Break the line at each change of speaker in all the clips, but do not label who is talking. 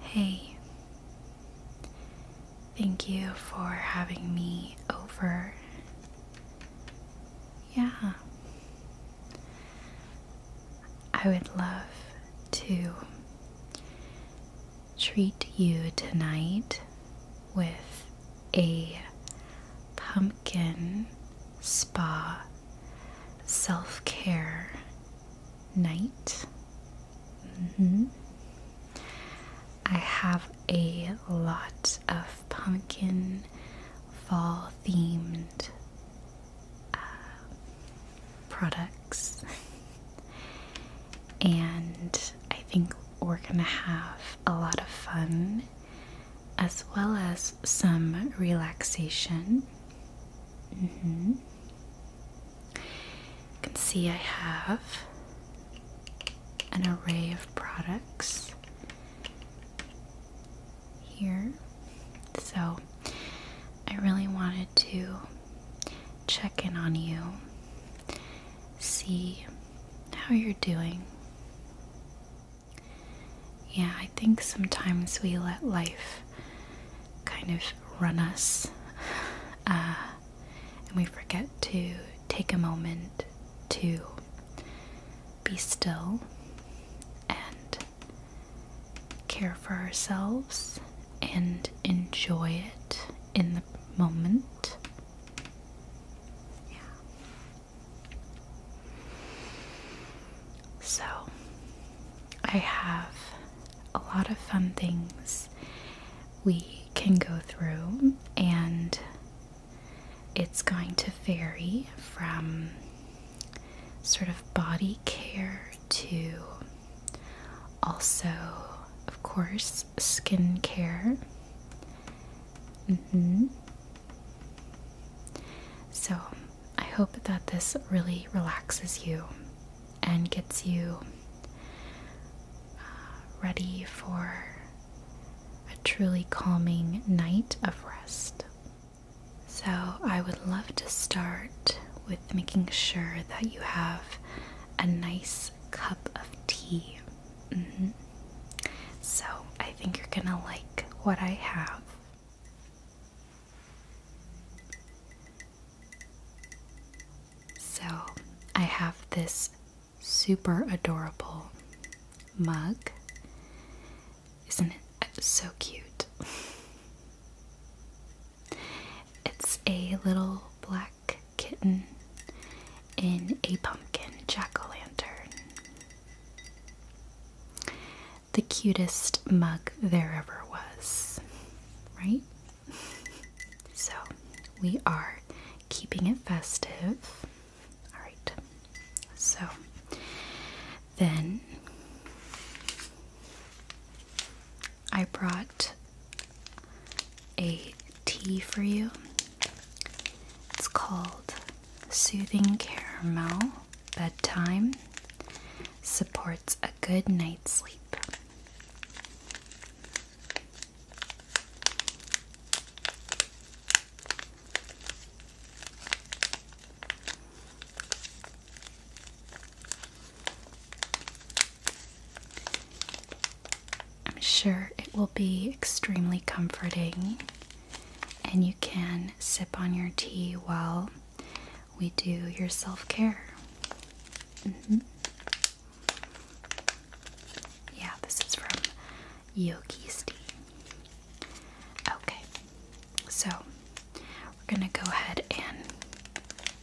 Hey, thank you for having me over. Yeah, I would love to treat you tonight with a pumpkin spa self care night. Mm-hmm. I have a lot of pumpkin fall themed uh, products, and I think we're gonna have a lot of fun as well as some relaxation. Mm-hmm. You can see I have an array of products here. So I really wanted to check in on you, see how you're doing. Yeah, I think sometimes we let life kind of run us uh, and we forget to take a moment to be still and care for ourselves and enjoy it in the moment. Yeah. So, I have a lot of fun things we can go through, and it's going to vary from sort of body care to also, of course, skin care Mm-hmm. So, I hope that this really relaxes you and gets you uh, ready for a truly calming night of rest. So, I would love to start with making sure that you have a nice cup of tea Mm-hmm. So I think you're gonna like what I have. So I have this super adorable mug. Isn't it uh, so cute? It's a little black kitten in a pumpkin jack o' lantern. The cutest mug there ever was, right? so we are keeping it festive. Alright, so then I brought a tea for you. It's called Soothing Caramel Bedtime supports a good night's sleep. I'm sure it will be extremely comforting and you can sip on your tea while we do your self care. Mm-hmm. Yeah, this is from Yogi's Tea. Okay, so we're gonna go ahead and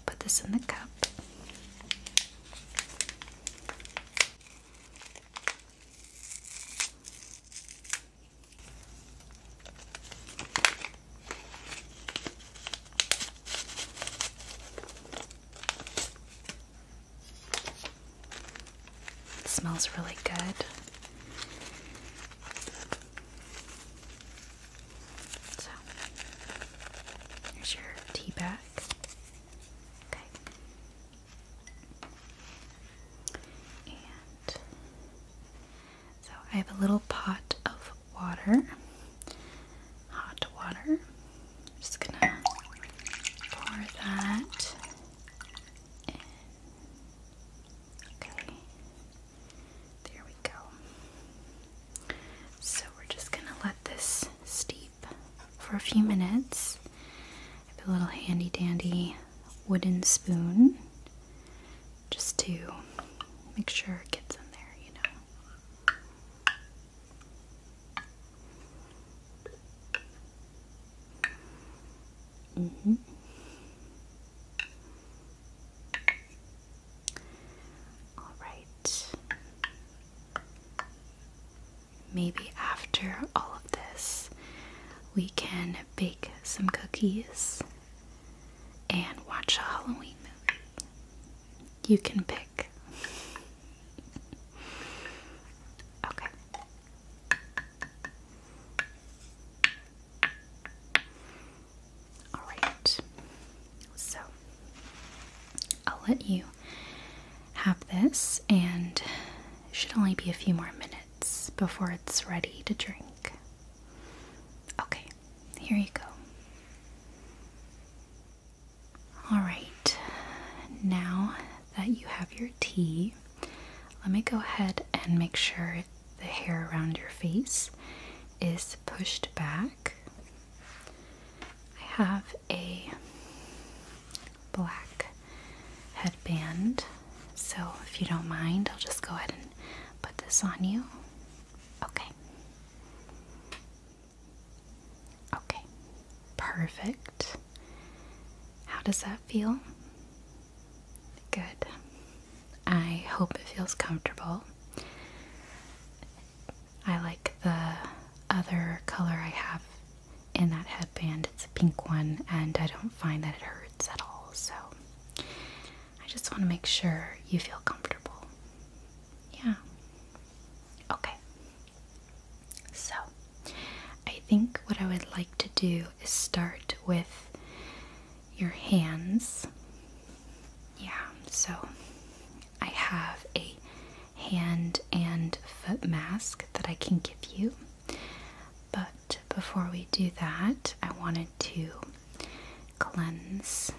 put this in the cup smells really good. So, here's your tea bag. Okay so I have a little pot of water, hot water. just gonna pour that Okay, there we go. So we're just gonna let this steep for a few minutes a little handy dandy wooden spoon just to make sure it gets in there, you know. Mm-hmm. All right maybe after all of this, we can bake some cookies and watch a Halloween movie. You can pick. okay. Alright. So, I'll let you have this, and should only be a few more minutes before it's ready to drink. Okay, here you go. Alright, now that you have your tea, let me go ahead and make sure the hair around your face is pushed back. I have a black headband. So, if you don't mind, I'll just go ahead and put this on you. Okay. Okay. Perfect. How does that feel? Good. I hope it feels comfortable. I like the other color I have in that headband. It's a pink one, and I don't find that it hurts at all. So I just want to make sure you feel comfortable. Yeah. Okay. So I think what I would like to do is start with your hands. Yeah, so I have a hand and foot mask that I can give you. But before we do that, I wanted to cleanse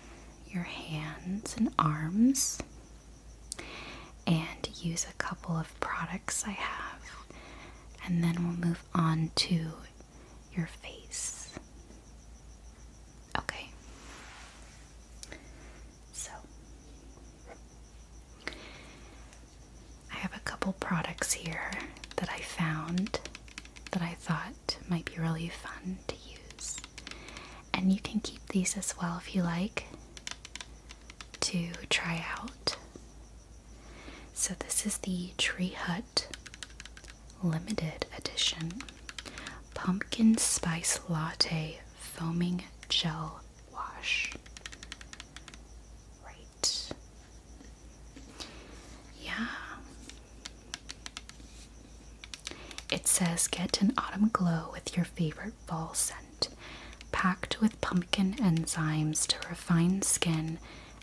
your hands and arms and use a couple of products I have, and then we'll move on to your face. Okay. So, I have a couple products here that I found that I thought might be really fun to use. And you can keep these as well if you like to try out. So, this is the Tree Hut Limited Edition Pumpkin Spice Latte Foaming Gel Wash. Yeah. It says get an autumn glow with your favorite fall scent, packed with pumpkin enzymes to refine skin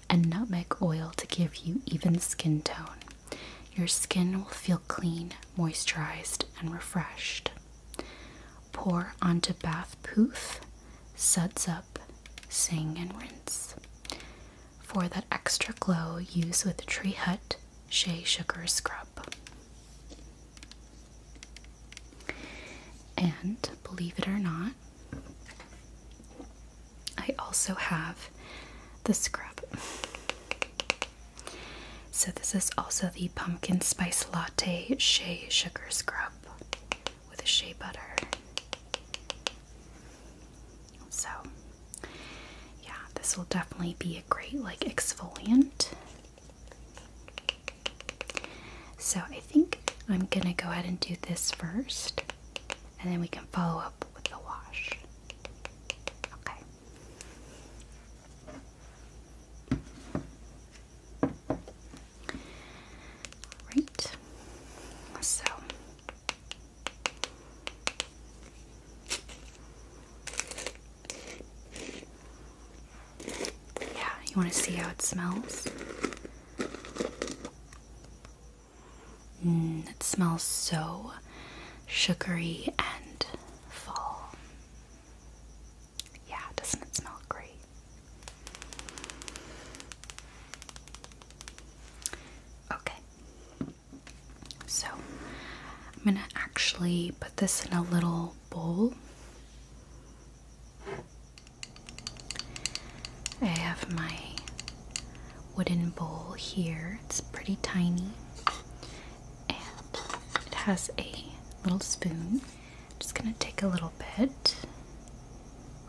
and nutmeg oil to give you even skin tone. Your skin will feel clean, moisturized, and refreshed. Pour onto bath poof suds up, sing, and rinse. For that extra glow, use with Tree Hut Shea Sugar Scrub. And believe it or not, I also have the scrub. So, this is also the Pumpkin Spice Latte Shea Sugar Scrub with a shea butter. So, yeah, this will definitely be a great like exfoliant. So, I think I'm gonna go ahead and do this first, and then we can follow up with the wash. Okay. Right. So yeah, you want to see how it smells? Mm, it smells so sugary and fall. Yeah, doesn't it smell great? Okay. So, I'm going to actually put this in a little bowl. I have my wooden bowl here. It's pretty tiny and it has a little spoon just gonna take a little bit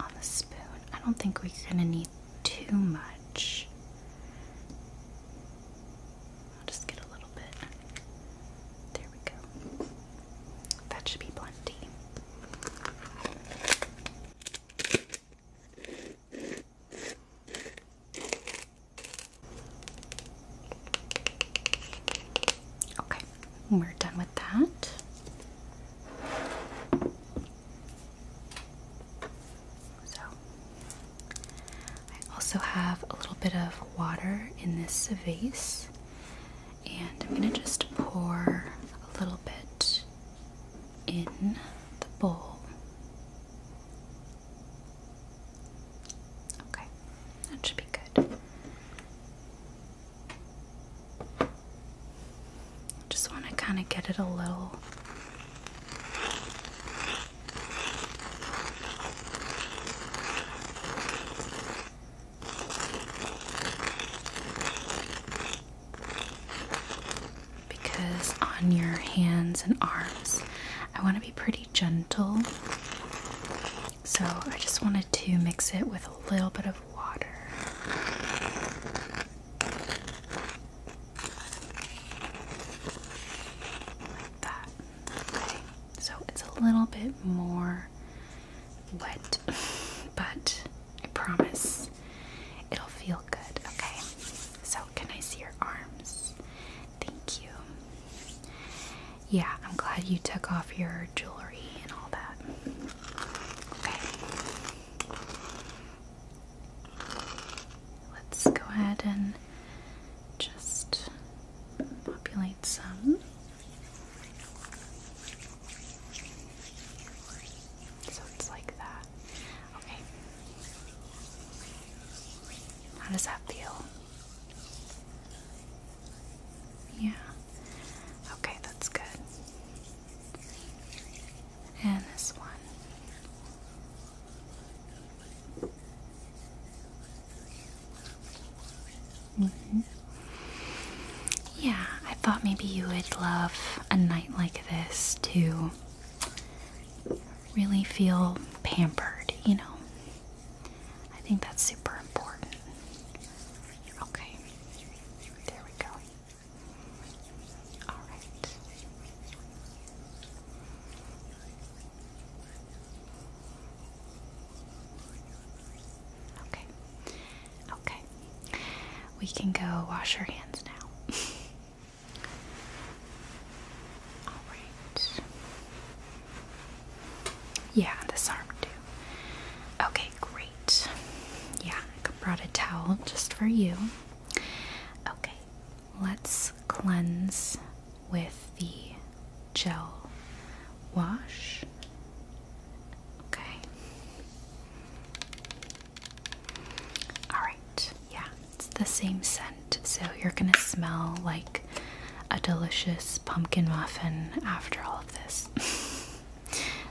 on the spoon. I don't think we're gonna need too much. I'll just get a little bit. There we go. That should be plenty. Okay, we're done with that. So, I also have a little bit of water in this vase, and I'm going to just pour a little bit in the bowl. Okay, that should be good. Just want to kind of get it a little because on your hands and arms, I want to be pretty gentle. So I just wanted to mix it with a little bit of water. Like that. so it's a little bit more wet, but I promise it'll feel good, okay? So, can I see your arms? Thank you. Yeah, I'm glad you took off your jewelry and all that. Okay. Let's go ahead and just populate some. So it's like that. Okay. How does that feel? Yeah. Okay, that's good and this one. Mm-hmm. Yeah, I thought maybe you would love a night like this to really feel pampered, you know. I think that's super important. Okay. There we go. Alright. Okay. Okay. We can go wash our hands now. Alright. Yeah, this arm too. Okay, great. Yeah, I brought a towel just for you. Okay, let's cleanse with the gel wash. Okay. Alright, yeah, it's the same scent, so you're gonna smell like a delicious pumpkin muffin after all of this.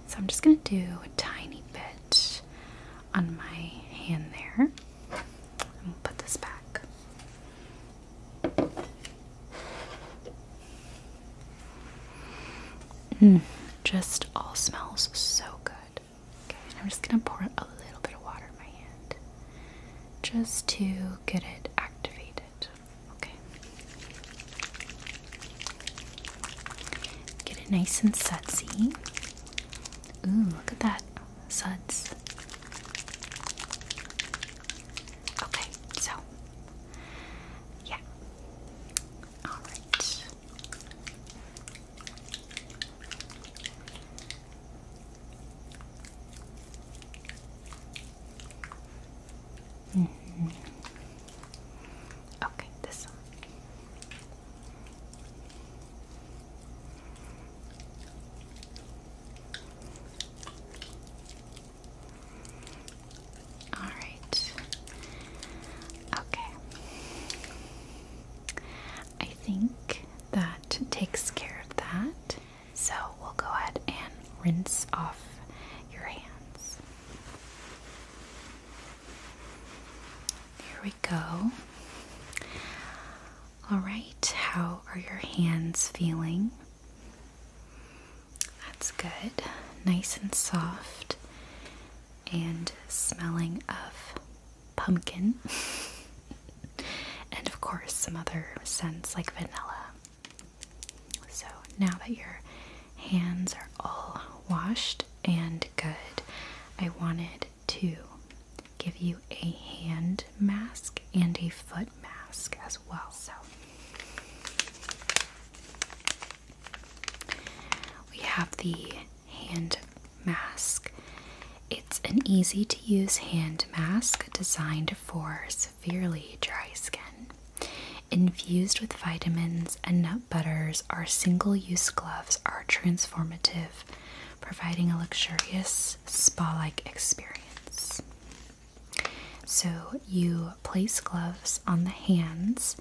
So I'm just going to do a tiny bit on my hand there. put this back. Mm, just all smells so good. Okay, I'm just going to pour a little bit of water in my hand just to get it activated. Okay. Get it nice and sudsy. Ooh, look at that. Suds. Okay, so. Yeah. Alright. Mm -hmm. Okay, this one. All right. Okay. I think that takes care of that. So we'll go ahead and rinse off your hands. There we go. All right, how are your hands feeling? That's good. Nice and soft and smelling of pumpkin. and of course, some other scents like vanilla. So now that you're hands are all washed and good. I wanted to give you a hand mask and a foot mask as well. So we have the hand mask. It's an easy to use hand mask designed for severely dry skin. Infused with vitamins and nut butters, our single use gloves are transformative, providing a luxurious spa like experience. So, you place gloves on the hands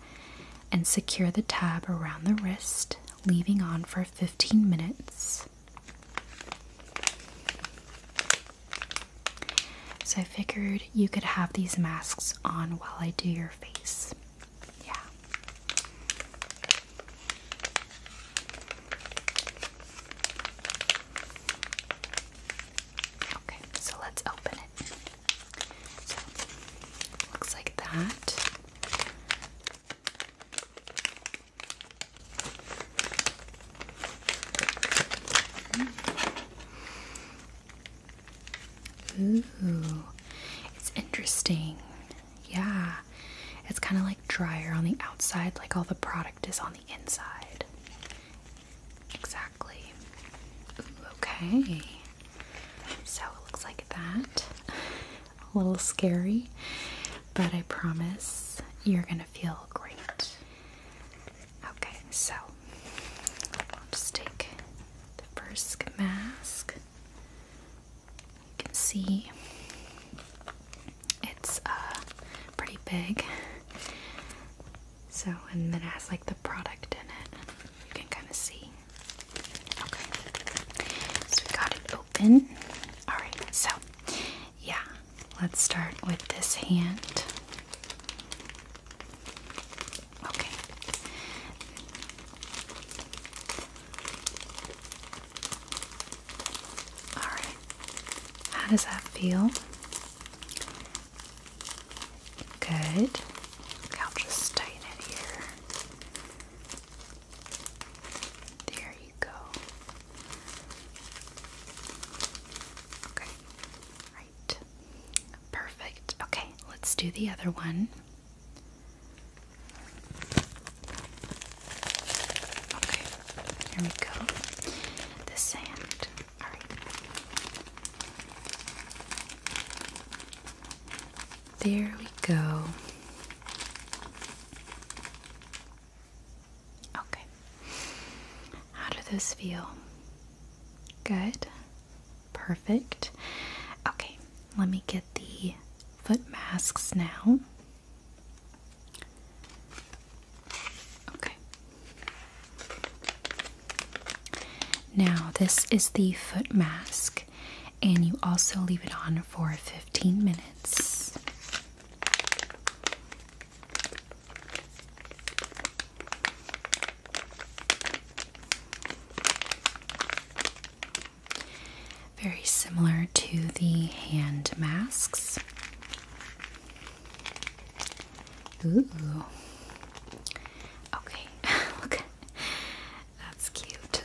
and secure the tab around the wrist, leaving on for 15 minutes. So, I figured you could have these masks on while I do your yeah. Okay, so let's open it. looks like that. Ooh, it's interesting. Yeah, it's kind of like drier on the outside, like all the product is on the inside. Exactly. okay, so it looks like that. A little scary, but I promise you're gonna feel great. Okay, so I'll just take the first mask. You can see it's uh, pretty big. So, and it has like the product in it. You can kind of see. Okay. So we got it open. Alright, so yeah, let's start with this hand. Okay. Alright. How does that feel? Good. I'll just tighten it here. There you go. Okay. Perfect. Okay, let's do the other one. Okay, here we go. The sand. Alright. There we go. Okay. How do those feel? Good. Perfect. Okay, let me get the foot masks now. Okay. Now, this is the foot mask, and you also leave it on for 15 minutes. Very similar to the hand masks. Ooh. Okay, look. That's cute.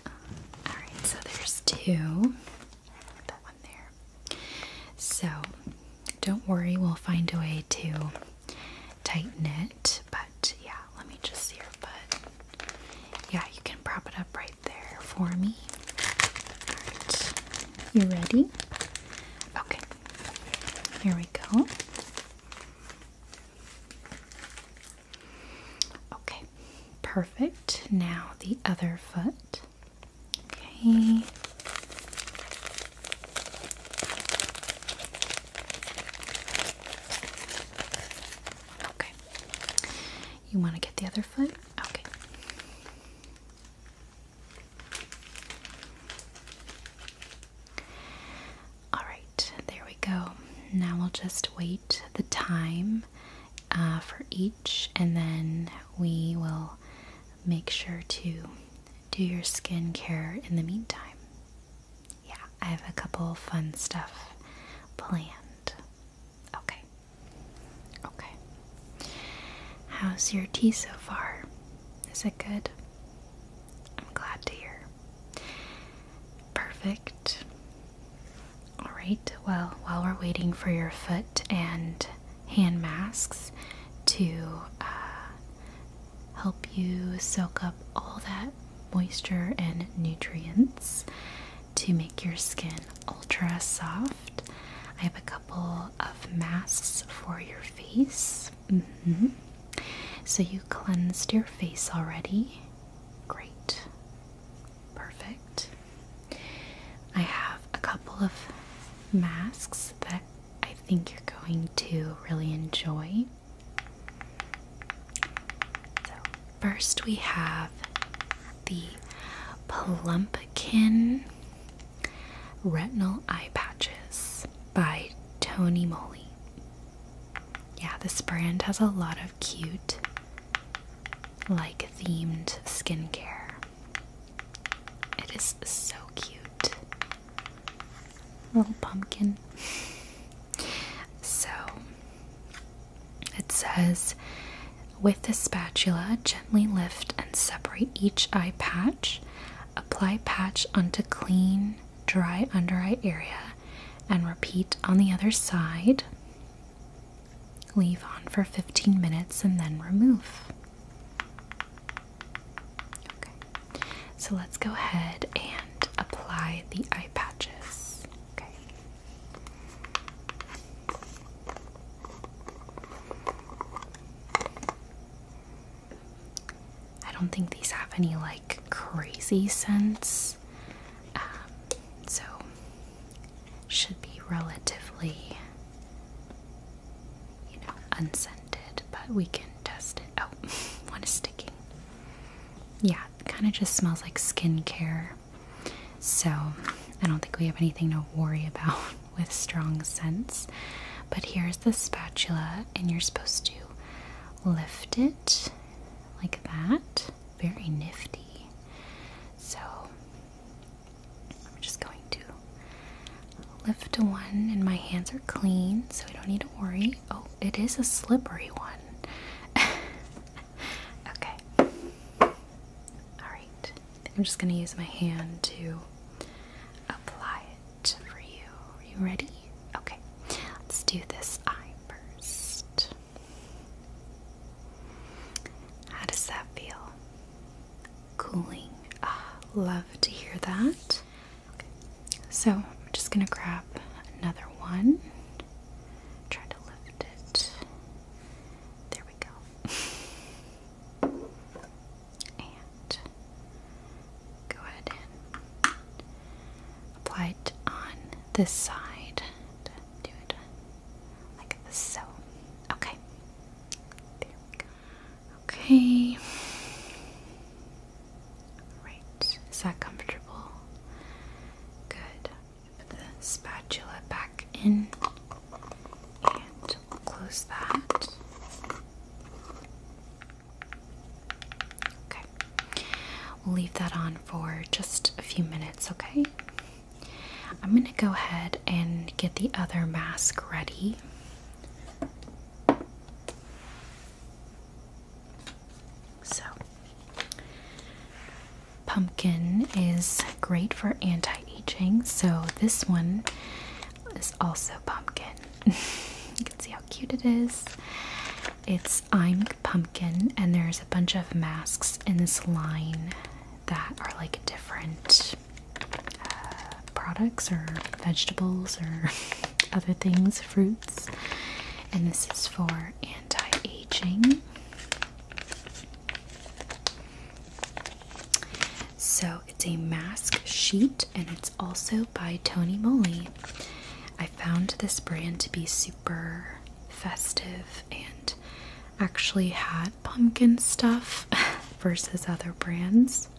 Alright, so there's two. That one there. So, don't worry, we'll find a way to tighten it, but yeah, let me just see your foot. Yeah, you can prop it up right there for me. Alright, you ready? Okay, here we go. Okay, perfect. Now the other foot. Okay. Okay. You want to get the other foot? Okay. All right, there we go. Now we'll just wait the time uh, for each, and then we will make sure to do your skin care in the meantime yeah, I have a couple fun stuff planned. Okay. Okay. How's your tea so far? Is it good? I'm glad to hear. Perfect. Alright, well, while we're waiting for your foot and hand masks to uh, help you soak up all that moisture and nutrients to make your skin ultra soft. I have a couple of masks for your face. Mm-hmm. So, you cleansed your face already. Great. Perfect. I have a couple of masks that I think you're going to really enjoy first we have the Plumpkin Retinal Eye Patches by Tony Moly. Yeah, this brand has a lot of cute, like themed skincare. It is so cute little pumpkin. So it says with the spatula, gently lift and separate each eye patch. Apply patch onto clean, dry under eye area and repeat on the other side. Leave on for 15 minutes and then remove. Okay. So let's go ahead and apply the eye patches. Okay. I don't think these have any like crazy scents, um, so should be relatively, you know, unscented. But we can test it. Oh, one is sticking. Yeah, kind of just smells like skincare. So I don't think we have anything to worry about with strong scents. But here's the spatula, and you're supposed to lift it like that. Very nifty. So I'm just going to lift one, and my hands are clean, so we don't need to worry. Oh, it is a slippery one. okay. Alright. I'm just going to use my hand to apply it for you. Are you ready? Okay. Let's do this eye first. How does that feel? Cooling. Ah, love to hear that. So I'm just going to grab another one. Try to lift it. There we go. And go ahead and apply it on this side. Do it like So, okay. There we go. Okay. Right, is that comfortable? Good. Put the spatula back in and close that. Okay, we'll leave that on for just a few minutes, okay? I'm gonna go ahead and get the other mask ready. So, pumpkin is great for anti aging, so this one is also pumpkin. you can see how cute it is. It's I'm Pumpkin, and there's a bunch of masks in this line that are like different uh, products or vegetables or other things, fruit and this is for anti-aging. So it's a mask sheet, and it's also by Tony Moly. I found this brand to be super festive and actually had pumpkin stuff versus other brands.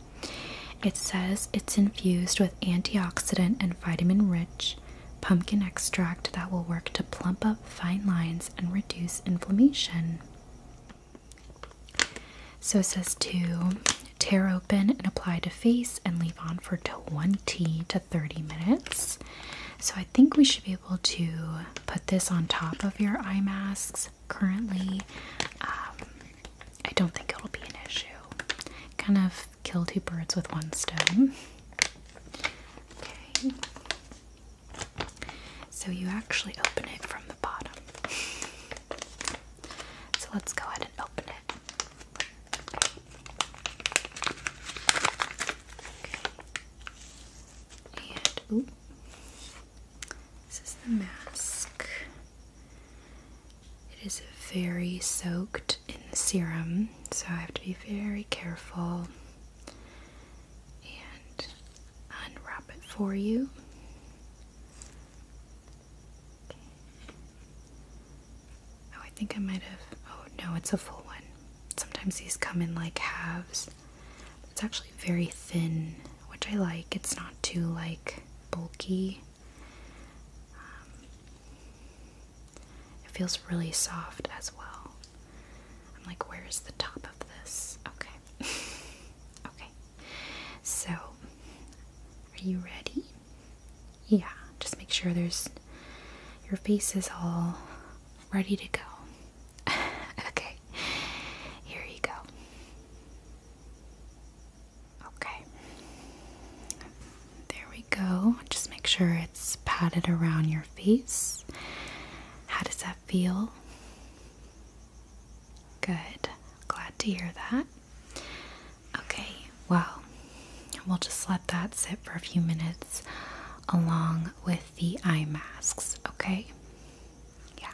It says it's infused with antioxidant and vitamin rich pumpkin extract that will work to plump up fine lines and reduce inflammation. So it says to tear open and apply to face and leave on for 20 to 30 minutes. So I think we should be able to put this on top of your eye masks currently. Um, I don't think it'll be an issue. Kind of kill two birds with one stone. Okay. So you actually open it from the bottom. So let's go ahead and open it. And This is the mask. It is very soaked in serum, so I have to be very careful and unwrap it for you. Oh, I think I might have. Oh, no, it's a full one. Sometimes these come in like halves. It's actually very thin, which I like. It's not too like bulky. Um, it feels really soft as well. I'm like, where is the top of this? Okay. okay. So, are you ready? Yeah, just make sure there's your face is all ready to go. okay. Here you go. Okay. There we go. Just make sure it's padded around your face. How does that feel? Good. Glad to hear that. Okay, well, we'll just let that sit for a few minutes along with the eye masks, okay? Yeah.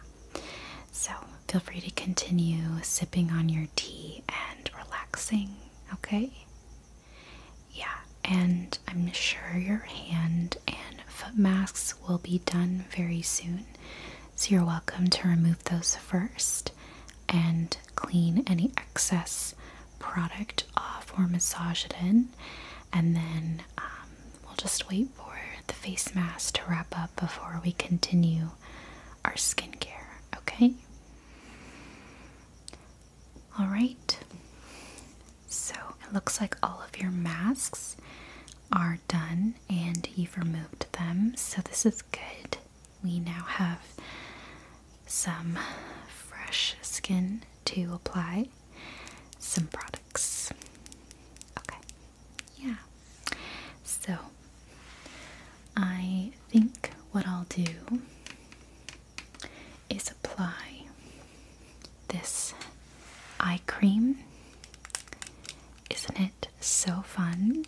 So feel free to continue sipping on your tea and relaxing, okay? Yeah, and I'm sure your hand and foot masks will be done very soon. So you're welcome to remove those first and clean any excess product off or massage it in. And then um, we'll just wait for the face mask to wrap up before we continue our skincare, okay? All right. So it looks like all of your masks are done and you've removed them. So this is good. We now have some fresh skin to apply some products. Okay. Yeah. So I think what I'll do is apply this eye cream. Isn't it so fun?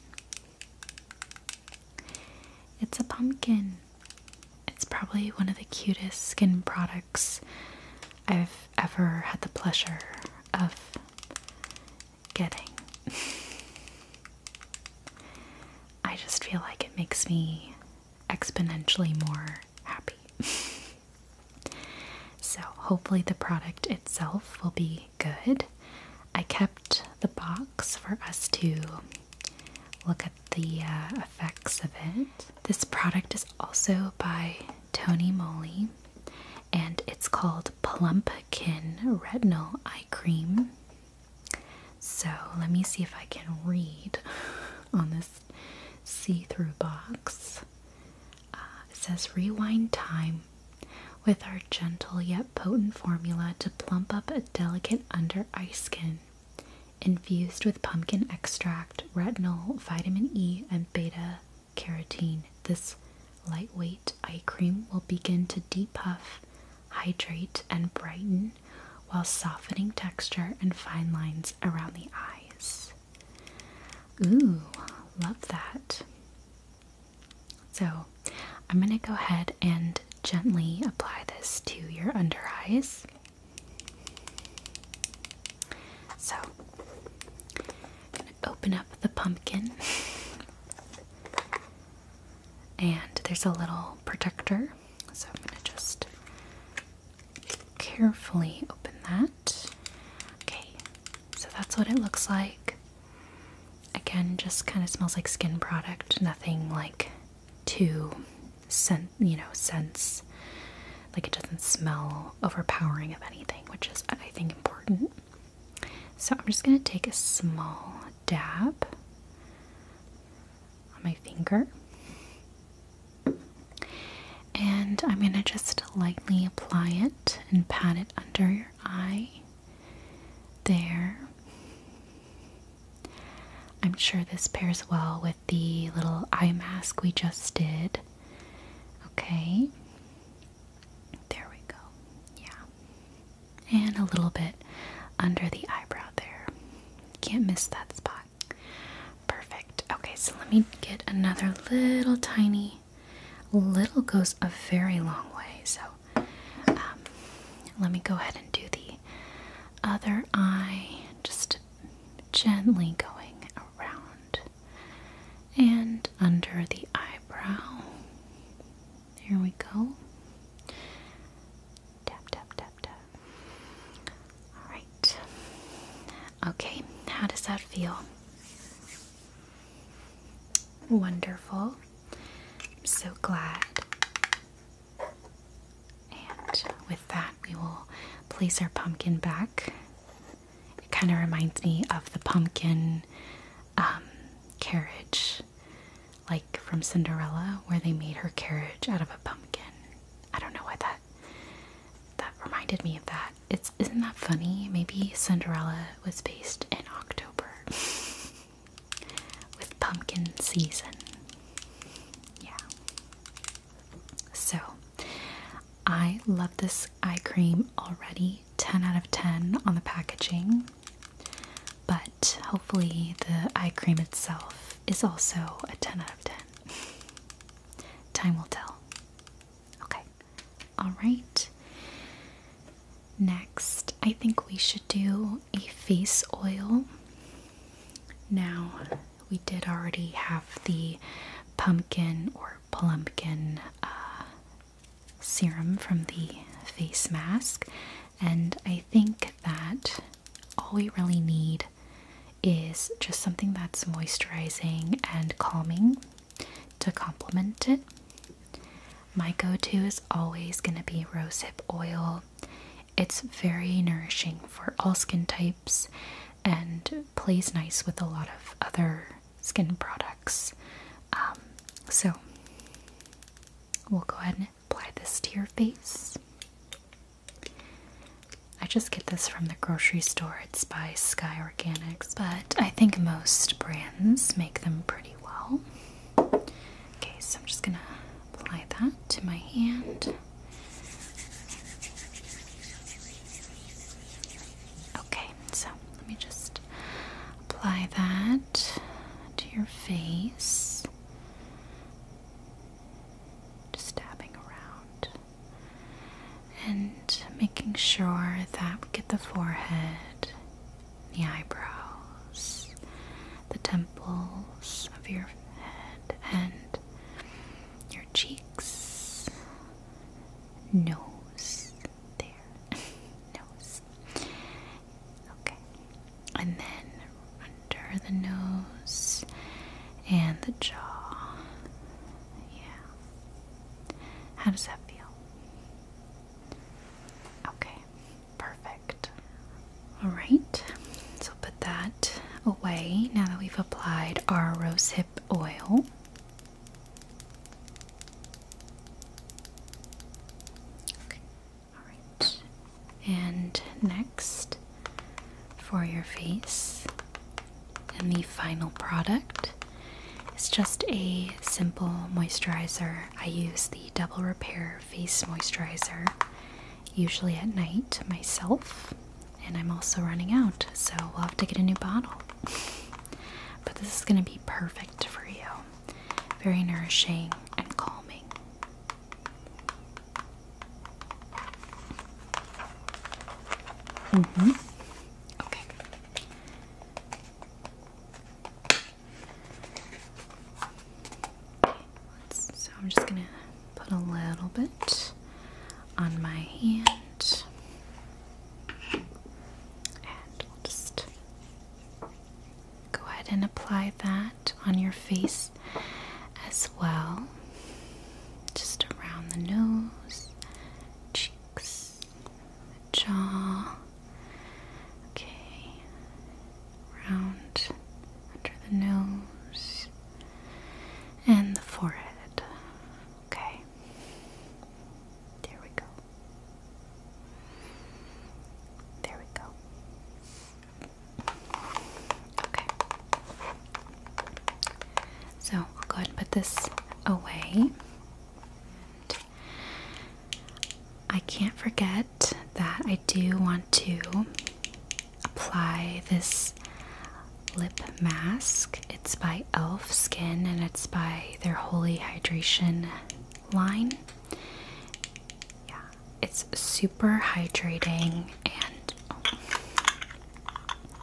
It's a pumpkin. It's probably one of the cutest skin products I've ever had the pleasure of getting. I just feel like it makes me exponentially more happy. so, hopefully, the product itself will be good. I kept the box for us to look at the uh, effects of it. This product is also by Tony Moly and it's called Plumpkin Retinol Eye Cream. So let me see if I can read on this see through box. Uh, it says, Rewind time with our gentle yet potent formula to plump up a delicate under eye skin. Infused with pumpkin extract, retinol, vitamin E, and beta carotene, this lightweight eye cream will begin to depuff, hydrate, and brighten while softening texture and fine lines around the eyes. Ooh, love that. So, I'm going to go ahead and gently apply this to your under eyes. So, I'm going to open up the pumpkin. And there's a little protector so I'm going to just carefully open that. Okay, so that's what it looks like. Again, just kind of smells like skin product, nothing like too scent, you know, sense. Like it doesn't smell overpowering of anything, which is, I think, important. So I'm just going to take a small dab on my finger. And I'm going to just lightly apply it and pat it under your eye. There. I'm sure this pairs well with the little eye mask we just did. Okay. There we go. Yeah and a little bit under the eyebrow there. Can't miss that spot. Perfect. Okay, so let me get another little tiny. Little goes a very long way, so um, let me go ahead and do the other eye, just gently going around and under the eyebrow. There we go. Tap, tap, tap, tap. All right. Okay, how does that feel? Wonderful. I'm so glad. And with that, we will place our pumpkin back. It kind of reminds me of the pumpkin um, carriage like from Cinderella, where they made her carriage out of a pumpkin. I don't know why that that reminded me of that. It's isn't that funny? Maybe Cinderella was based in October with pumpkin season. Yeah. So I love this eye cream already. 10 out of 10 on the packaging but hopefully the eye cream itself is also a 10 out of 10. Time will tell. Okay. All right. Next, I think we should do a face oil. Now, we did already have the pumpkin or plumpkin uh, serum from the face mask, and I think that all we really need is just something that's moisturizing and calming to complement it. My go to is always going to be rosehip oil. It's very nourishing for all skin types and plays nice with a lot of other skin products. Um, so we'll go ahead and apply this to your face. I just get this from the grocery store. It's by Sky Organics, but I think most brands make them pretty well. Okay, so I'm just gonna apply that to my hand. Okay, so let me just apply that to your face just dabbing around and making sure that we get the forehead, the eyebrows, the temples of your head, and your cheeks, nose. There, nose. Okay, and then under the nose and the jaw. Yeah. How does that feel? Okay, perfect. All right, so put that away now that we've applied our rosehip oil. Okay. Alright, and next for your face, and the final product is just a simple moisturizer. I use the Double Repair Face Moisturizer usually at night myself, and I'm also running out, so we'll have to get a new bottle. but this is going to be perfect for you, very nourishing and calming. Mm-hmm. Okay. So I'm just gonna put a little bit on my hand, and we'll just go ahead and apply that on your face as well. Just around the nose, cheeks, jaw. Okay, round under the nose and the forehead. Okay, there we go. There we go. Okay. So I'll go ahead and put this away. I can't forget that I do want to apply this lip mask. It's by e.l.f. Skin and it's by their Holy Hydration line. Yeah, it's super hydrating and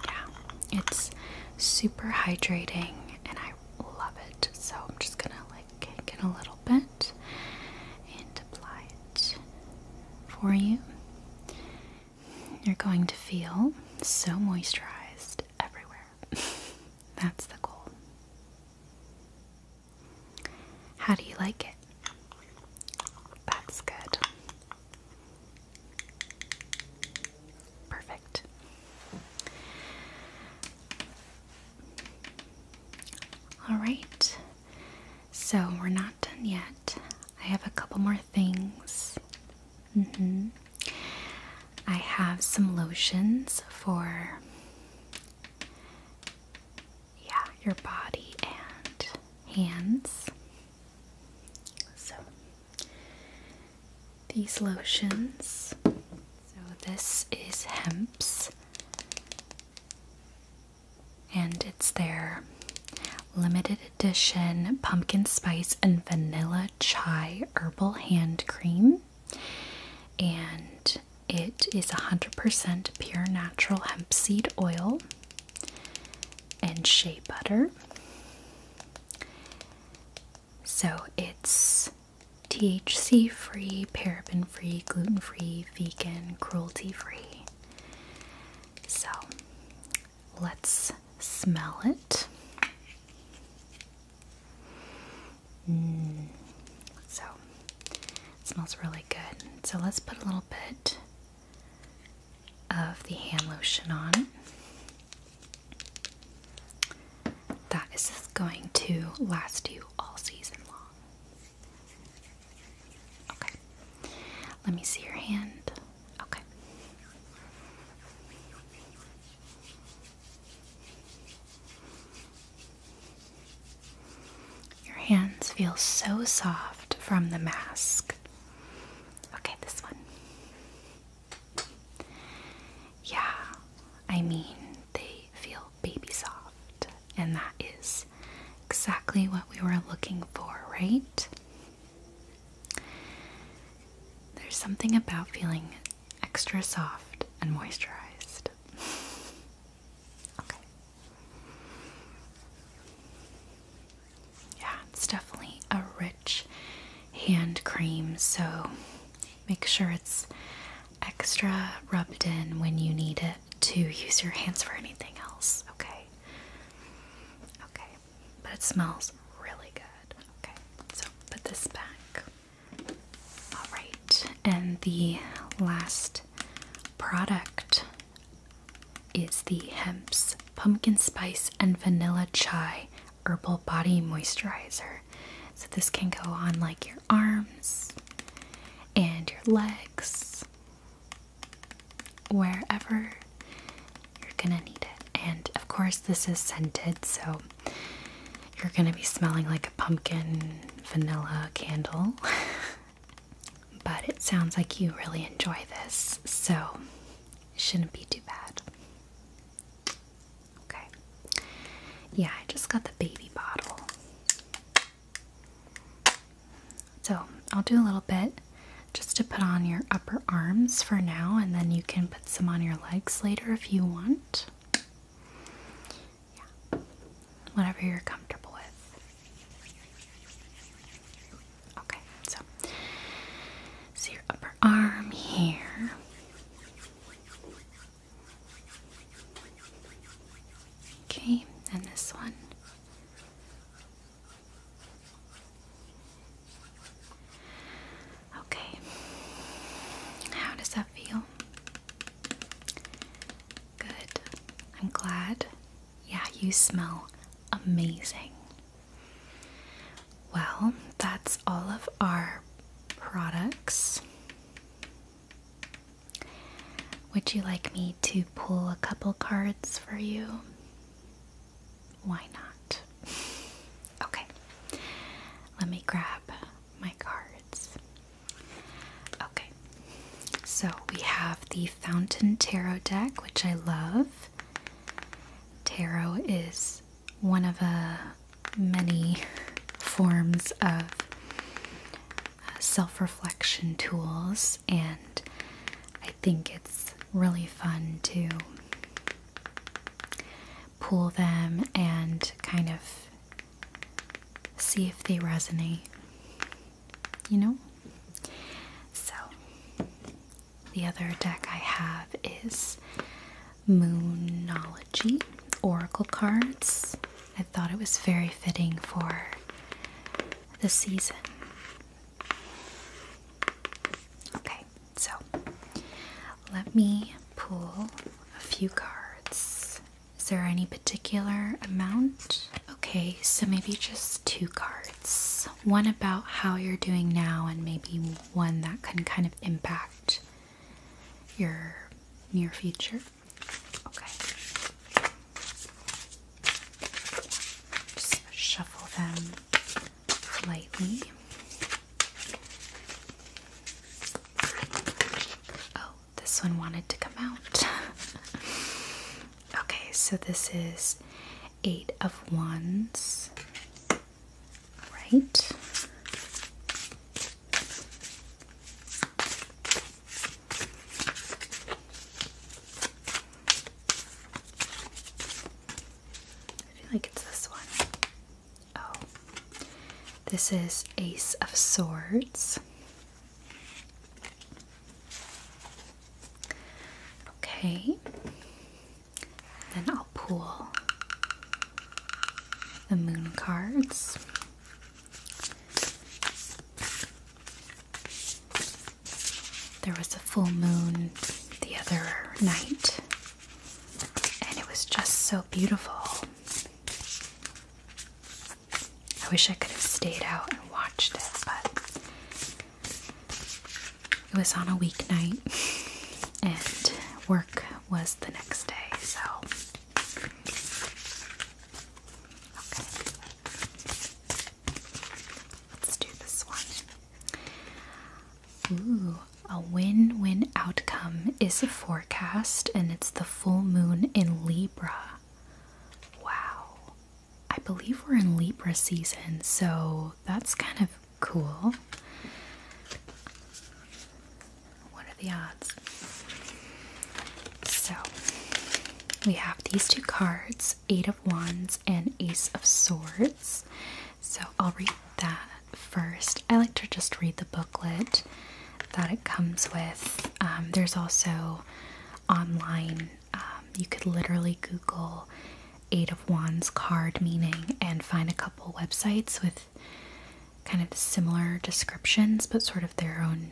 yeah, it's super hydrating and I love it. So I'm just gonna like get a little bit and apply it for you. You're going to feel so moisturized everywhere. That's the goal. How do you like it? That's good. Perfect. Alright, so we're not done yet. I have a couple more things. Mm-hmm. I have some lotions for yeah, your body and hands. So, these lotions. So, this is Hemp's, and it's their limited edition pumpkin spice and vanilla chai herbal hand cream. And it is 100% pure natural hemp seed oil and shea butter. So it's THC free, paraben free, gluten free, vegan, cruelty free. So let's smell it. Mm. So it smells really good. So let's put a little bit of the hand lotion on. That is just going to last you all season long. Okay. Let me see your hand. Okay. Your hands feel so soft from the mask. Okay, this one. Yeah, I mean, they feel baby soft, and that is exactly what we were looking for, right? There's something about feeling extra soft and moisturized. okay. Yeah, it's definitely a rich hand cream, so make sure it's extra rubbed in when you need it to use your hands for anything else, okay? Okay, but it smells really good. Okay, so put this back. All right, and the last product is the Hemp's Pumpkin Spice and Vanilla Chai Herbal Body Moisturizer. So, this can go on like your arms and your legs, wherever you're gonna need it. And of course, this is scented, so you're gonna be smelling like a pumpkin vanilla candle. But it sounds like you really enjoy this, so it shouldn't be too bad. Okay. Yeah, I just got the baby bottle. So I'll do a little bit just to put on your upper arms for now, and then you can put some on your legs later if you want. Yeah, whatever you're comfortable with. Okay, so see your upper arm here. Okay, and this one. Okay, how does that feel? Good. I'm glad yeah, you smell amazing. Well, that's all of our products. Would you like me to pull a couple cards for you? Why not? Okay, let me grab my cards. Okay, so we have the Fountain Tarot deck, which I love. Tarot is one of uh, many forms of uh, self reflection tools, and I think it's really fun to pull them and kind of see if they resonate you know? So, the other deck I have is Moonology Oracle Cards. I thought it was very fitting for the season. Okay, so let me pull a few cards. Is there any particular amount? Okay, so maybe just two cards one about how you're doing now, and maybe one that can kind of impact your near future. Okay. Just shuffle them lightly. Oh, this one wanted to come out. Okay, so this is eight of wands, right? I feel like it's this one. Oh, this is Ace of Swords. Okay, then I'll pull the moon cards. There was a full moon the other night, and it was just so beautiful. I wish I could have stayed out and watched it, but it was on a weeknight and work was the next day, so Let's do this one. Ooh, a win win outcome is a forecast, and it's the full moon in Libra. Wow. I believe we're in Libra season, so that's kind of cool. What are the odds? So we have these two cards Eight of Wands and Ace of Swords. So I'll read that first. I like to just read the booklet that it comes with. Um, there's also online um, you could literally Google Eight of Wands card meaning and find a couple websites with kind of similar descriptions, but sort of their own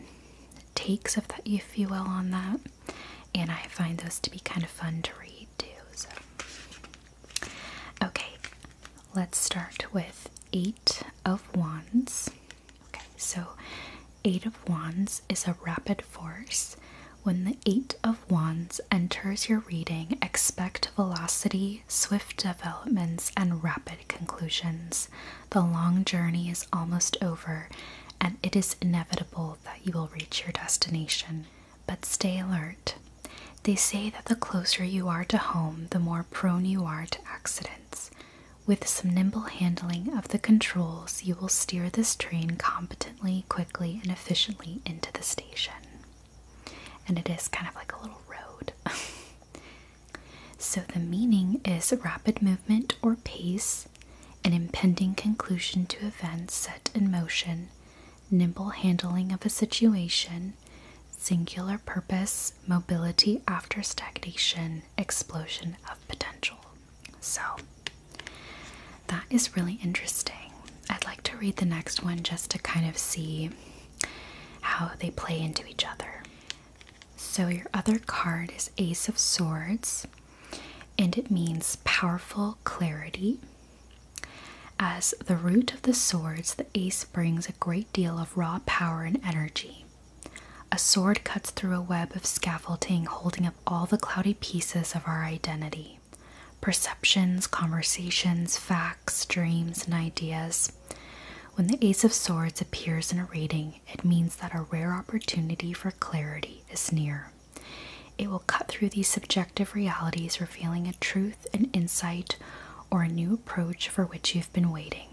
takes, if, that, if you will, on that. And I find those to be kind of fun to read too. okay, let's start with Eight of Wands. Okay, so Eight of Wands is a rapid force. When the Eight of Wands enters your reading, expect velocity, swift developments, and rapid conclusions. The long journey is almost over, and it is inevitable that you will reach your destination. But stay alert. They say that the closer you are to home, the more prone you are to accidents. With some nimble handling of the controls, you will steer this train competent quickly, and efficiently into the station. And it is kind of like a little road. so the meaning is rapid movement or pace, an impending conclusion to events set in motion, nimble handling of a situation, singular purpose, mobility after stagnation, explosion of potential. So that is really interesting. I'd like to read the next one just to kind of see how they play into each other. So, your other card is Ace of Swords, and it means powerful clarity. As the root of the swords, the ace brings a great deal of raw power and energy. A sword cuts through a web of scaffolding holding up all the cloudy pieces of our identity perceptions, conversations, facts, dreams, and ideas. When the Ace of Swords appears in a reading, it means that a rare opportunity for clarity is near. It will cut through these subjective realities, revealing a truth, an insight, or a new approach for which you've been waiting.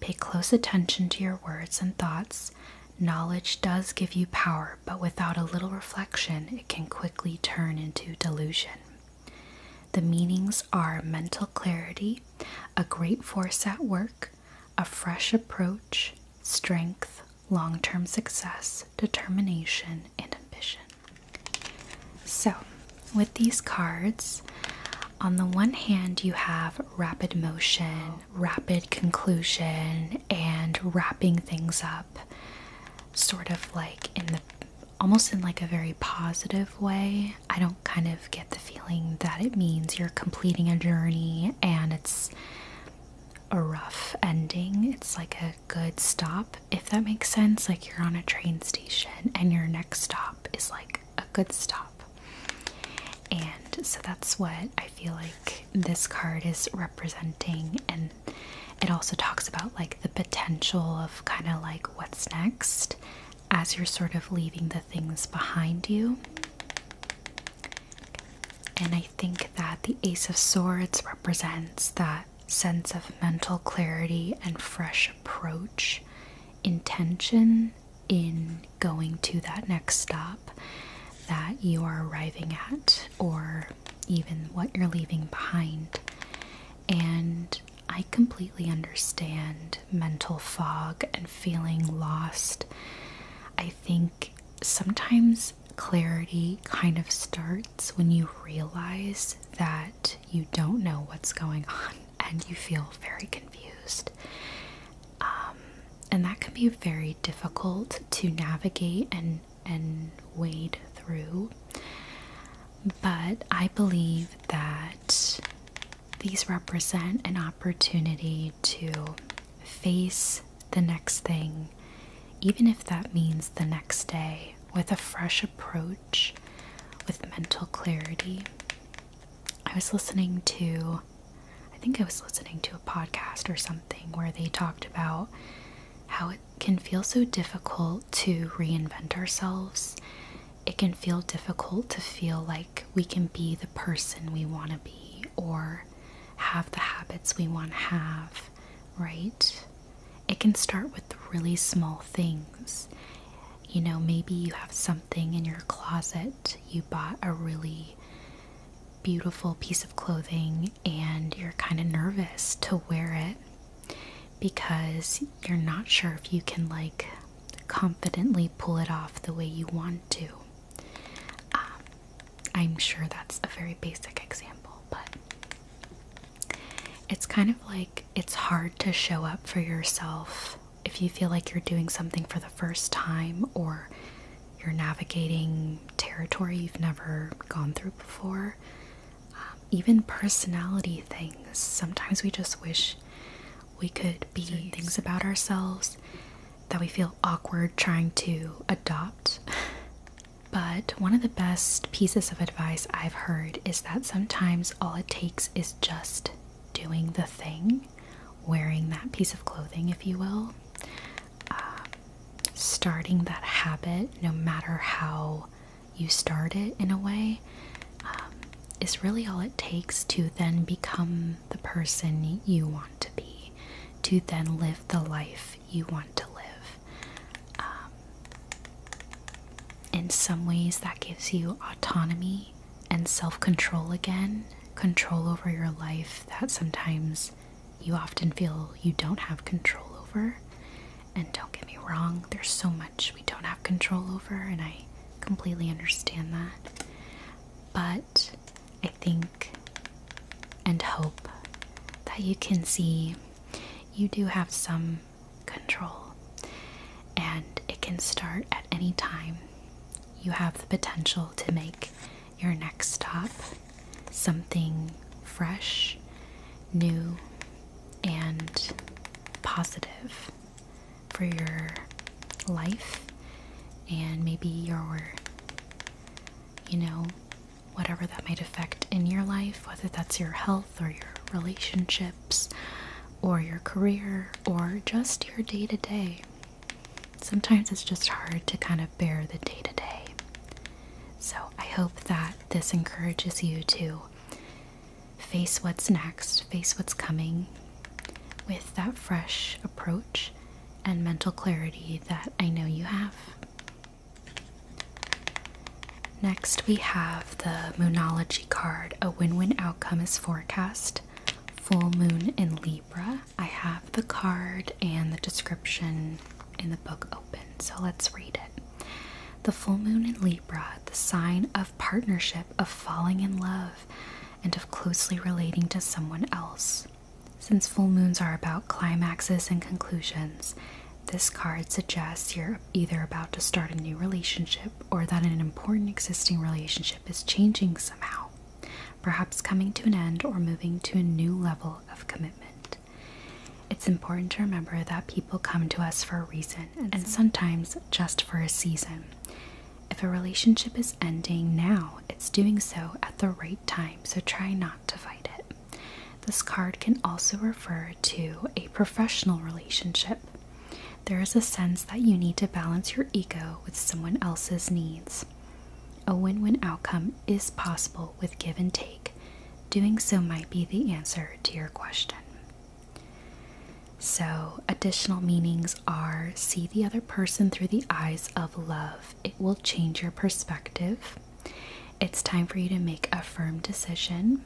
Pay close attention to your words and thoughts Knowledge does give you power, but without a little reflection, it can quickly turn into delusion. The meanings are mental clarity, a great force at work, a fresh approach, strength, long term success, determination, and ambition. So, with these cards, on the one hand, you have rapid motion, rapid conclusion and wrapping things up sort of like in the almost in like a very positive way. I don't kind of get the feeling that it means you're completing a journey and it's a rough ending. It's like a good stop, if that makes sense. Like you're on a train station and your next stop is like a good stop. And so that's what I I feel like this card is representing and it also talks about like the potential of kind of like what's next as you're sort of leaving the things behind you. And I think that the Ace of Swords represents that sense of mental clarity and fresh approach, intention in going to that next stop that you are arriving at or even what you're leaving behind. And I completely understand mental fog and feeling lost. I think sometimes clarity kind of starts when you realize that you don't know what's going on and you feel very confused. Um, and that can be very difficult to navigate and and wade through but i believe that these represent an opportunity to face the next thing even if that means the next day with a fresh approach with mental clarity i was listening to I think I was listening to a podcast or something where they talked about how it can feel so difficult to reinvent ourselves. It can feel difficult to feel like we can be the person we want to be or have the habits we want to have, right? It can start with really small things. You know, maybe you have something in your closet, you bought a really beautiful piece of clothing and you're kind of nervous to wear it because you're not sure if you can like confidently pull it off the way you want to. Um, I'm sure that's a very basic example, but it's kind of like it's hard to show up for yourself if you feel like you're doing something for the first time or you're navigating territory you've never gone through before. Um, even personality things. Sometimes we just wish we could be things about ourselves that we feel awkward trying to adopt. But one of the best pieces of advice I've heard is that sometimes all it takes is just doing the thing, wearing that piece of clothing, if you will starting that habit, no matter how you start it in a way, um, is really all it takes to then become the person you want to be, to then live the life you want to live. Um, in some ways, that gives you autonomy and self control again, control over your life that sometimes you often feel you don't have control over. And don't get me wrong, there's so much we don't have control over, and I completely understand that. But I think and hope that you can see you do have some control, and it can start at any time. You have the potential to make your next stop something fresh, new, and positive for your life and maybe your, you know, whatever that might affect in your life, whether that's your health or your relationships or your career or just your day to day sometimes it's just hard to kind of bear the day to day. So I hope that this encourages you to face what's next, face what's coming with that fresh approach and mental clarity that I know you have. Next, we have the Moonology card A Win Win Outcome is Forecast, Full Moon in Leo. I have the card and the description in the book open, so let's read it. The full moon in Libra, the sign of partnership, of falling in love, and of closely relating to someone else. Since full moons are about climaxes and conclusions, this card suggests you're either about to start a new relationship or that an important existing relationship is changing somehow, perhaps coming to an end or moving to a new level of commitment. It's important to remember that people come to us for a reason and sometimes just for a season. If a relationship is ending now, it's doing so at the right time, so try not to fight it. This card can also refer to a professional relationship. There is a sense that you need to balance your ego with someone else's needs. A win win outcome is possible with give and take. Doing so might be the answer to your question. So, additional meanings are see the other person through the eyes of love, it will change your perspective. It's time for you to make a firm decision.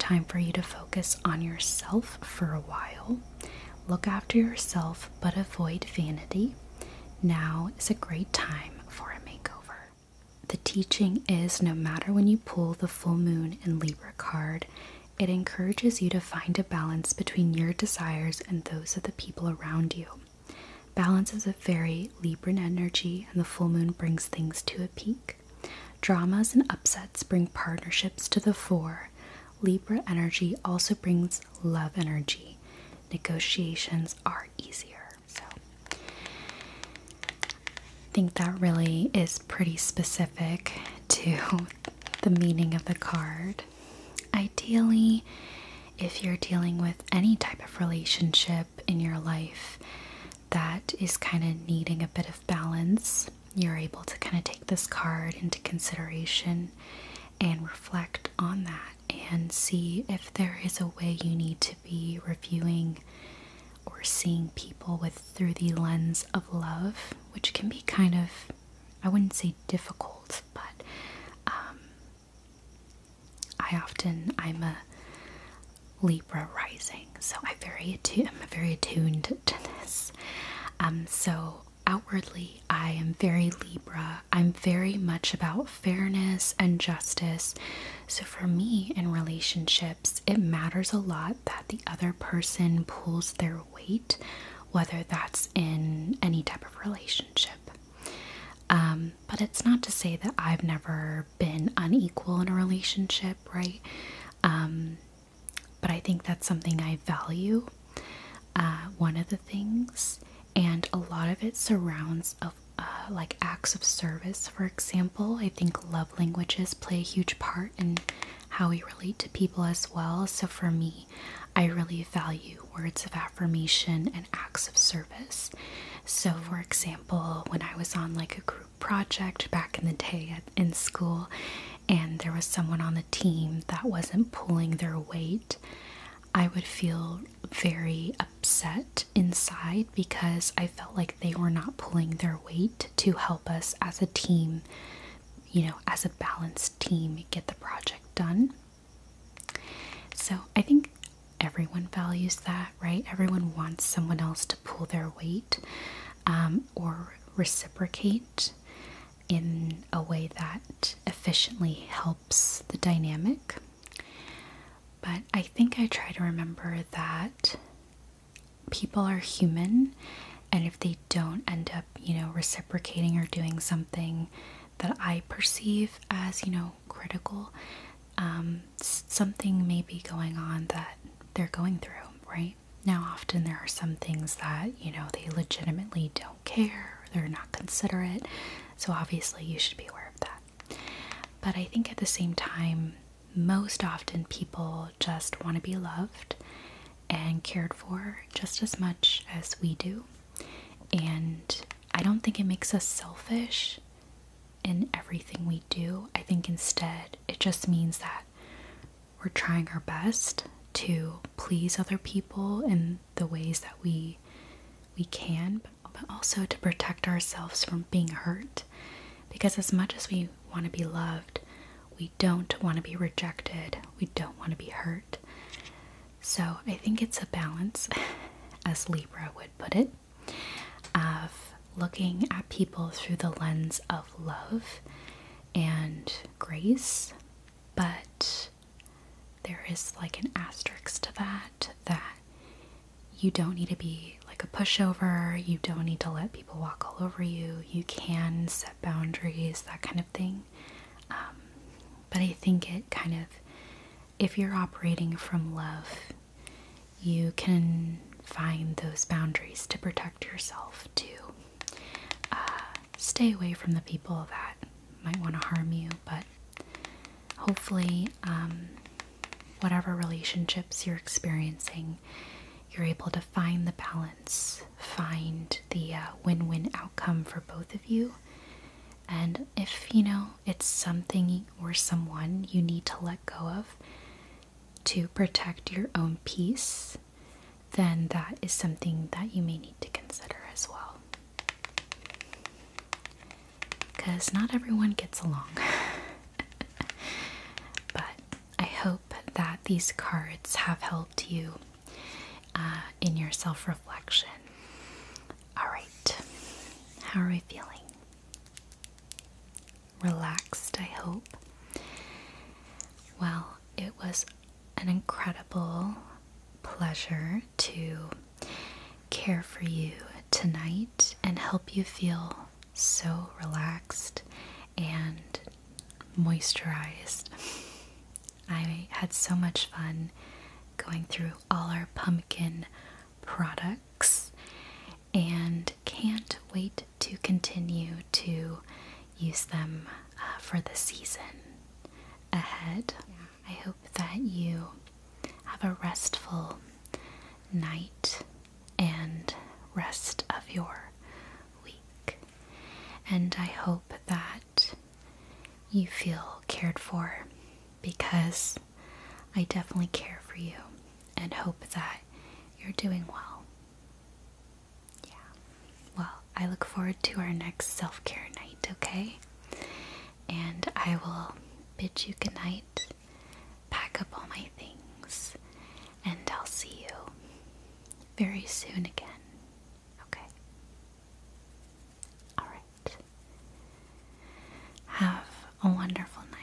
Time for you to focus on yourself for a while. Look after yourself but avoid vanity. Now is a great time for a makeover. The teaching is no matter when you pull the full moon and Libra card, it encourages you to find a balance between your desires and those of the people around you. Balance is a very Libran energy, and the full moon brings things to a peak. Dramas and upsets bring partnerships to the fore. Libra energy also brings love energy. Negotiations are easier. So I think that really is pretty specific to the meaning of the card. Ideally, if you're dealing with any type of relationship in your life that is kind of needing a bit of balance, you're able to kind of take this card into consideration and reflect on that and see if there is a way you need to be reviewing or seeing people with through the lens of love, which can be kind of, I wouldn't say difficult, but um, I often I'm a Libra rising, so I very I'm very attuned to this. Um, so outwardly, I am very Libra. I'm very much about fairness and justice. So, for me in relationships, it matters a lot that the other person pulls their weight, whether that's in any type of relationship. Um, but it's not to say that I've never been unequal in a relationship, right? Um, but I think that's something I value. Uh, one of the things, and a lot of it surrounds a uh, like acts of service, for example. I think love languages play a huge part in how we relate to people as well. So for me, I really value words of affirmation and acts of service. So, for example, when I was on like a group project back in the day in school, and there was someone on the team that wasn't pulling their weight, I would feel very upset inside because I felt like they were not pulling their weight to help us as a team, you know, as a balanced team, get the project done. So I think everyone values that, right? Everyone wants someone else to pull their weight um, or reciprocate in a way that efficiently helps the dynamic. But I think I try to remember that people are human, and if they don't end up, you know, reciprocating or doing something that I perceive as, you know, critical, um, something may be going on that they're going through, right? Now, often there are some things that, you know, they legitimately don't care, they're not considerate. So, obviously, you should be aware of that. But I think at the same time, most often people just want to be loved and cared for just as much as we do. And I don't think it makes us selfish in everything we do. I think instead it just means that we're trying our best to please other people in the ways that we we can, but also to protect ourselves from being hurt. Because as much as we want to be loved, we don't want to be rejected, we don't want to be hurt. So I think it's a balance, as Libra would put it, of looking at people through the lens of love and grace, but there is like an asterisk to that that you don't need to be like a pushover, you don't need to let people walk all over you, you can set boundaries, that kind of thing. Um, but I think it kind of, if you're operating from love, you can find those boundaries to protect yourself, to uh, stay away from the people that might want to harm you, but hopefully um, whatever relationships you're experiencing, you're able to find the balance, find the uh, win win outcome for both of you. And if you know it's something or someone you need to let go of to protect your own peace, then that is something that you may need to consider as well because not everyone gets along. but I hope that these cards have helped you uh, in your self reflection. Alright, how are we feeling? Relaxed, I hope. Well, it was an incredible pleasure to care for you tonight and help you feel so relaxed and moisturized. I had so much fun going through all our pumpkin products and can't wait to continue to use them uh, for the season ahead. I hope that you have a restful night and rest of your week. And I hope that you feel cared for because I definitely care for you and hope that you're doing well. Yeah. Well, I look forward to our next self care night, okay? And I will bid you good night pack up all my things, and I'll see you very soon again. Okay? Alright. Have a wonderful night.